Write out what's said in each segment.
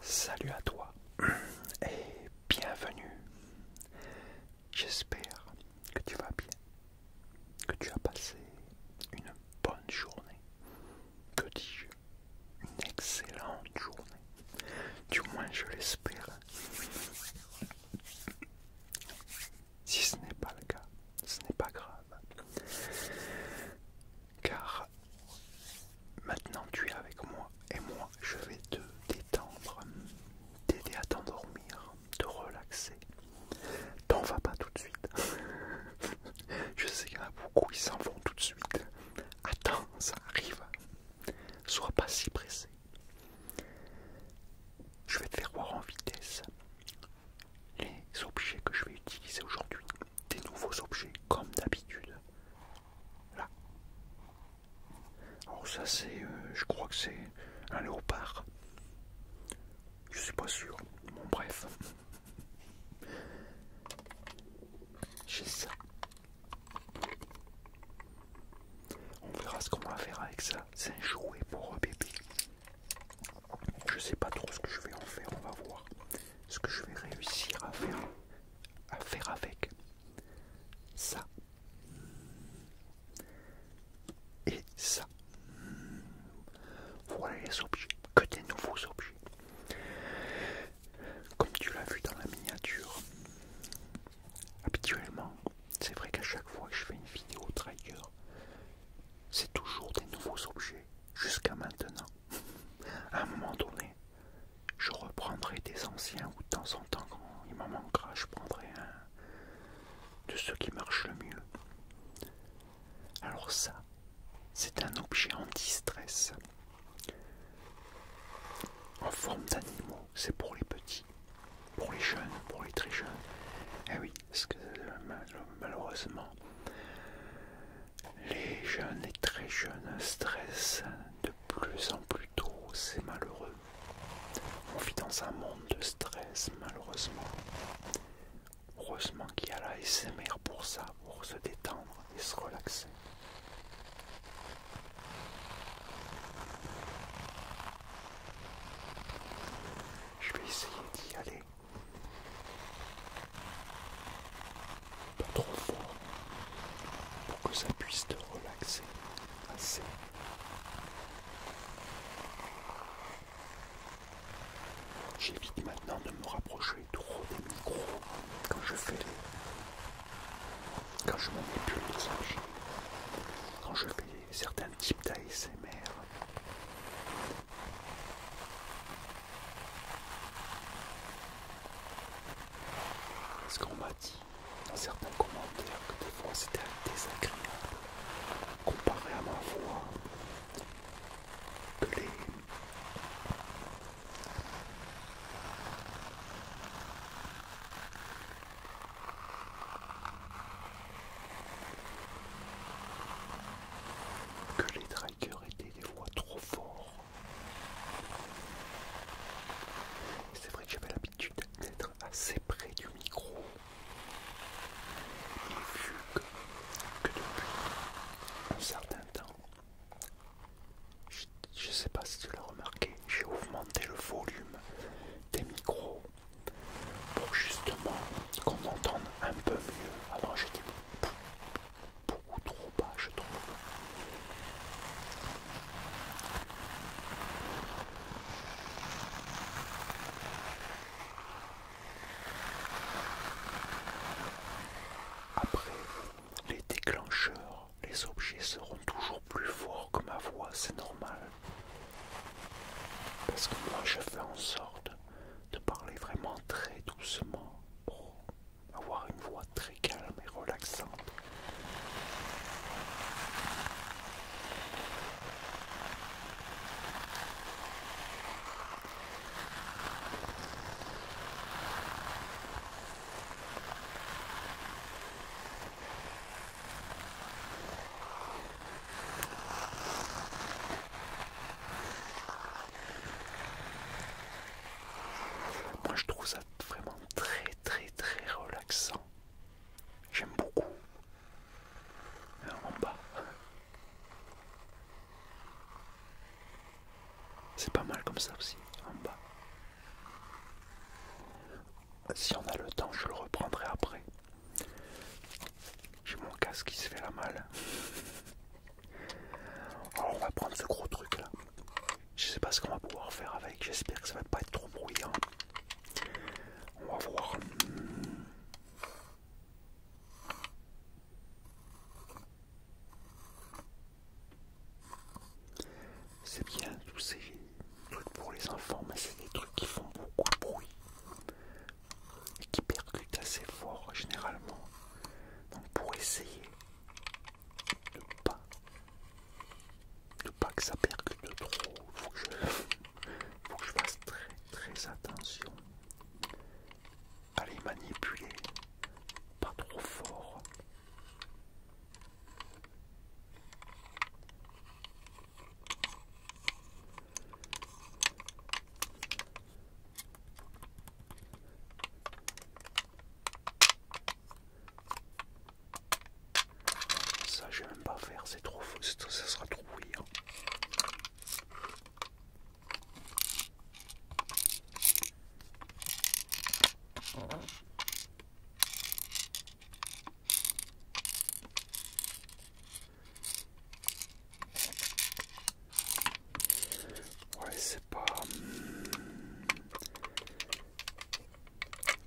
Salut à toi et bienvenue. J'espère que tu vas bien, que tu as passé une bonne journée, que dis-je, une excellente journée, du moins je l'espère. Si ce n'est pas le cas, ce n'est pas grave. Car maintenant tu es avec moi et moi je vais te détendre, t'aider à t'endormir, te relaxer. T'en vas pas tout de suite. je sais qu'il y en a beaucoup, ils s'en vont tout de suite. Attends, ça arrive. Sois pas si pressé. Je vais te faire voir en vitesse les objets que je vais utiliser aujourd'hui des nouveaux objets comme d'habitude. Là. Alors ça c'est, euh, je crois que c'est un léopard. Je suis pas sûr. Bon bref. J'ai ça. On verra ce qu'on va faire avec ça. C'est un jouet pour euh, bébé. Je sais pas trop ce que je vais en faire, on va voir ce que je vais réussir à faire, à faire avec ça et ça. Voilà les objets, que des nouveaux objets. Comme tu l'as vu dans la miniature, habituellement, c'est vrai qu'à chaque fois que je fais une vidéo trigger, c'est toujours des nouveaux objets jusqu'à maintenant. À un moment donné, je reprendrai des anciens ou de temps en temps, quand il m'en manquera, je prendrai un de ceux qui marchent le mieux. Alors ça, c'est un objet en distress. en forme d'animaux. C'est pour les petits, pour les jeunes, pour les très jeunes. Eh oui, parce que euh, malheureusement, les jeunes et très jeunes stressent de plus en plus tôt, c'est malheureux. On vit dans un monde de stress malheureusement. Heureusement qu'il y a la SMR pour ça, pour se détendre et se relaxer. Je vais essayer d'y aller pas trop fort pour que ça puisse te relaxer assez. J'évite maintenant de me rapprocher trop des micros quand je fais les... quand je manipule les quand je fais certains types d'ASMR. Est-ce qu'on m'a dit dans certains commentaires que des fois c'était désagréable comparé à ma voix que les que les était des fois trop fortes. C'est vrai que j'avais l'habitude d'être assez près du micro. vu que, depuis un certain temps, je sais pas si tu l'as remarqué, j'ai augmenté le volume des micros pour justement qu'on entende un peu mieux. Avant j'étais beaucoup trop bas, je trouve. Après, les déclencheurs, les objets seront toujours plus forts que ma voix, c'est normal. Parce que moi, je fais en sorte de parler vraiment très doucement pour avoir une voix très calme et relaxante. Moi je trouve ça vraiment très très très relaxant. J'aime beaucoup. Euh, en bas. C'est pas mal comme ça aussi, en bas. Si on a le temps, je le reprendrai après. J'ai mon casque qui se fait la malle. Alors on va prendre ce gros truc là. Je sais pas ce qu'on va pouvoir faire avec. J'espère que ça va pas être trop bruyant. On va voir. C'est bien tous ces trucs pour les enfants, mais c'est des trucs qui font beaucoup de bruit et qui percute assez fort généralement. Donc pour essayer de pas de pas que ça percute trop, faut que je, faut que je fasse très très attention à les manipuler pas trop fort. Ça, je vais même pas faire, c'est trop faux, ça sera trop bouillant. Ouais, c'est pas.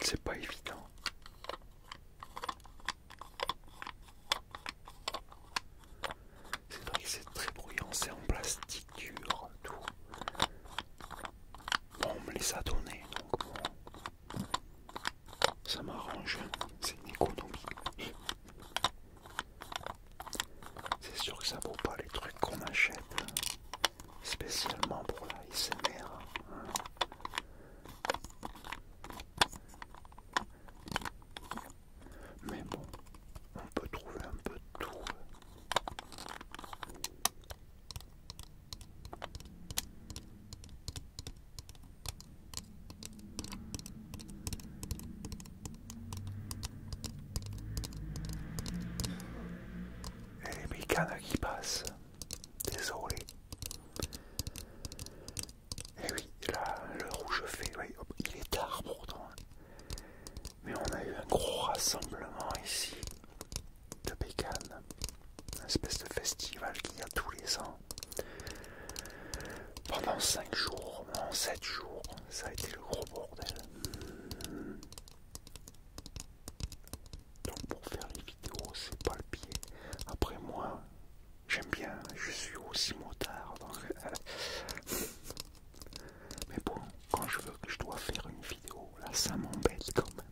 C'est pas évident. C'est vrai que c'est très bruyant, c'est en plastique dur, tout. Bon, on me laisse à tourner, donc Ça m'arrange, c'est une économie. C'est sûr que ça vaut pas les trucs qu'on achète spécialement pour la hein. Mais bon, on peut trouver un peu de tout. Et les bécanes qui passent. Désolé. Et oui, là, le rouge fait, il est tard pourtant. Hein. Mais on a eu un gros rassemblement ici de bécanes. Une espèce de festival qu'il y a tous les ans. Pendant 5 jours, non 7 jours, ça a été le gros bordel. Donc pour faire les vidéos, c'est pas le pied. Après moi, j'aime bien, je suis aussi motard. Euh, mais bon, quand je veux que je dois faire une vidéo, là ça m'embête quand même.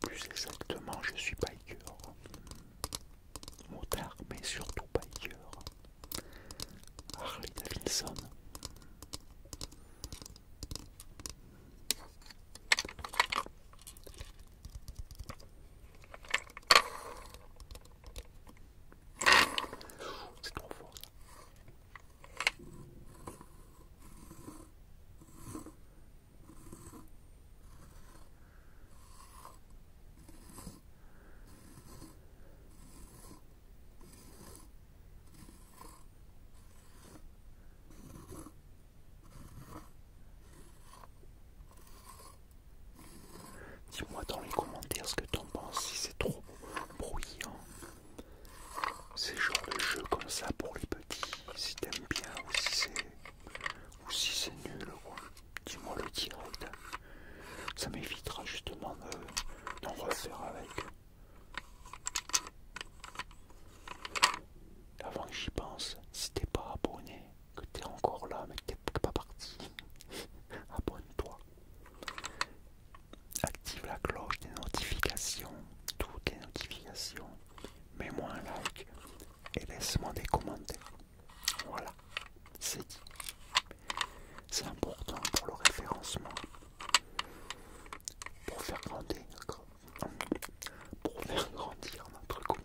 Plus exactement, je suis biker. Hmm. Motard, mais surtout biker. Harley Davidson. Hmm. C'est trop fort ça. Dis-moi dans les commentaires ce que en penses, si c'est trop bruyant. C'est genre le jeu comme ça pour les petits, si t'aimes bien ou si c'est ou si c'est nul, Dis-moi le direct. Ça m'évitera justement d'en refaire avec. Avant que j'y pense, si t'es pas abonné, que t'es encore là mais que t'es pas parti, abonne-toi. Active la cloche des notifications, toutes les notifications. Mets-moi un like, et laisse-moi des commentaires. Voilà, c'est dit. C'est important pour le référencement, pour faire grandir, pour faire grandir notre communauté.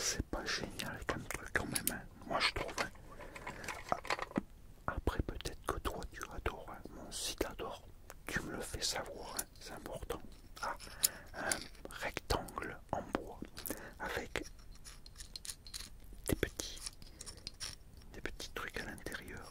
c'est pas génial comme truc quand même, hein. moi je trouve. Hein. Ah, après, peut-être que toi tu adores, hein. mon site, si t'adores, tu me le fais savoir, c'est important. Ah, un rectangle en bois avec des petits trucs à l'intérieur.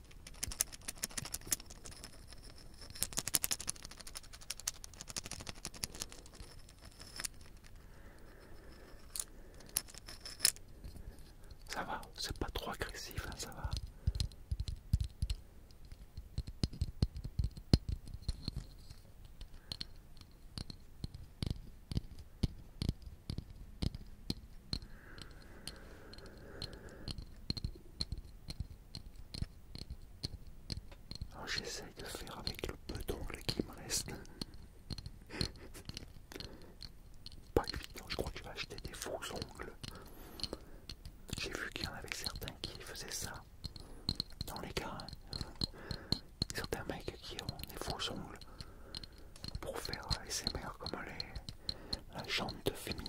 Ça va, c'est pas trop agressif, hein, ça va. Alors j'essaye de faire avec le peu d'ongles qui me reste. Pas évident, je crois que je vais acheter des faux ongles. J'ai vu qu'il y en avait certains qui faisaient ça dans les cas. Certains mecs qui ont des faux ongles pour faire mères comme les, la féminines. féminine.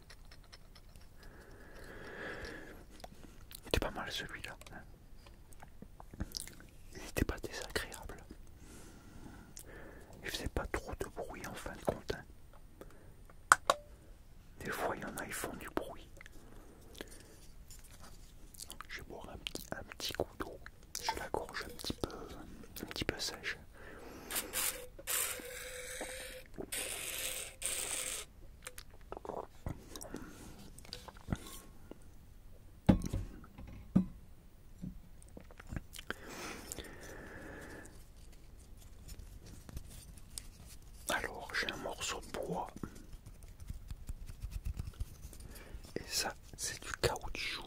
Il était pas mal celui-là. Il n'était pas désagréable. Il faisait pas trop de bruit en fin de compte. Hein. Des fois, il y en a, ils font du bruit. Je vais boire un petit, coup d'eau. Je la gorge un petit peu, un petit peu sèche. Alors j'ai un morceau de bois et ça c'est du caoutchouc.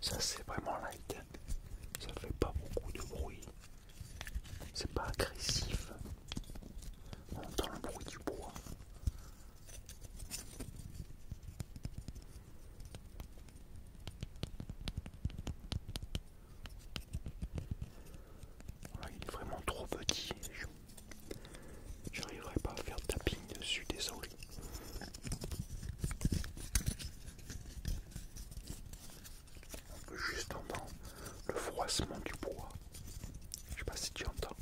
Ça c'est vraiment light, hein. ça fait pas beaucoup de bruit. C'est pas agressif. On entend le bruit du bois. il est vraiment trop petit. J'arriverai pas à faire tapping dessus, désolé on peut juste entendre le froissement du bois. Je sais pas si tu entends.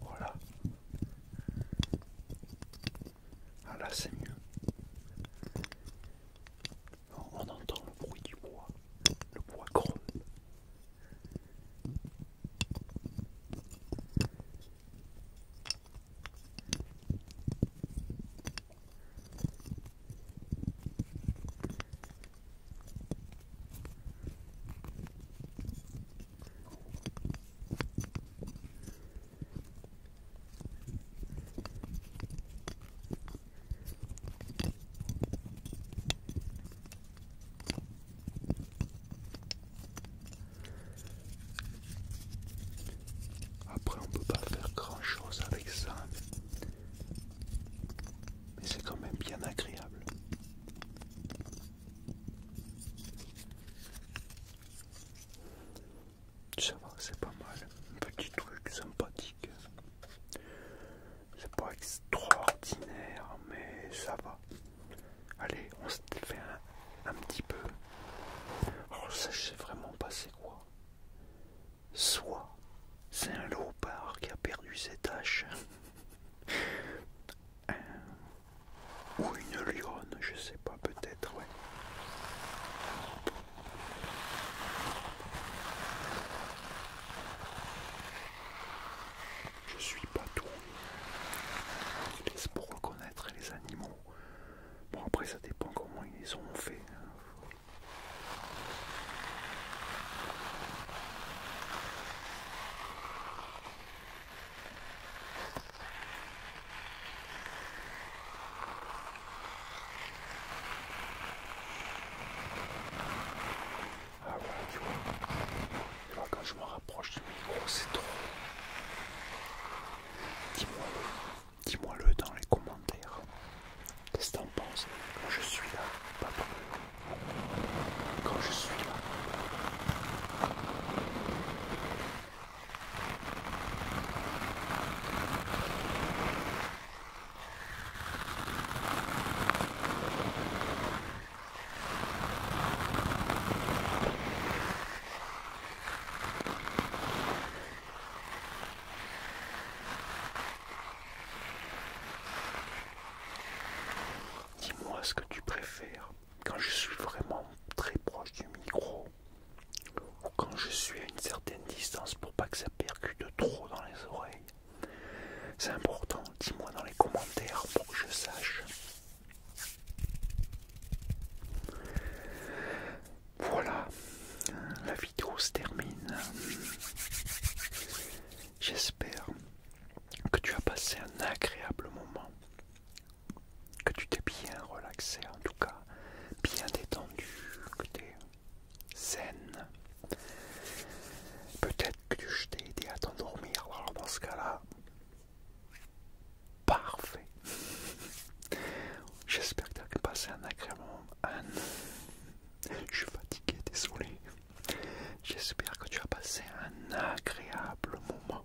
Voilà. Ah là c'est mieux. On entend le bruit du bois, le bois gronde après, on peut pas faire grand chose avec ça, mais c'est quand même bien agréable. Ça va, c'est pas mal. un Petit truc sympathique. C'est pas extraordinaire, mais ça va. Allez, on se fait un, petit peu. Alors, oh, ça, je sais vraiment pas c'est quoi. Soit c'est un loupard qui a perdu ses taches. Euh, ou une lionne, je sais pas, peut-être, ouais. Je suis pas tout. laisse pour reconnaître les animaux. Bon après ça dépend comment ils les ont fait. Ah ouais, tu vois. Tu vois, quand je me rapproche du micro, c'est trop. Dis-moi-le. Dis-moi-le dans les commentaires. Qu'est-ce que t'en penses quand je suis là Papa. Quand je suis là. Dis-moi ce que tu préfères quand je suis vraiment très proche du micro, ou quand je suis à une certaine distance pour pas que ça percute trop dans les oreilles, c'est important. Dis-moi dans les commentaires pour que je sache. Voilà, la vidéo se termine. J'espère que tu as passé un agréable moment que tu t'es bien relaxé, en tout cas bien détendu, que tu saine. Peut-être que je t'ai aidé à t'endormir, alors dans ce cas-là, parfait. J'espère que tu as passé un agréable moment. Je suis fatigué, désolé. J'espère que tu as passé un agréable moment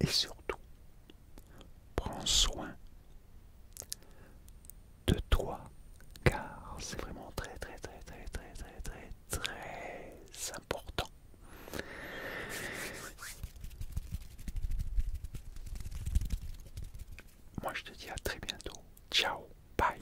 et surtout, prends soin de toi, car c'est vraiment très très très très très très très très important. Moi je te dis à très bientôt. Ciao, bye.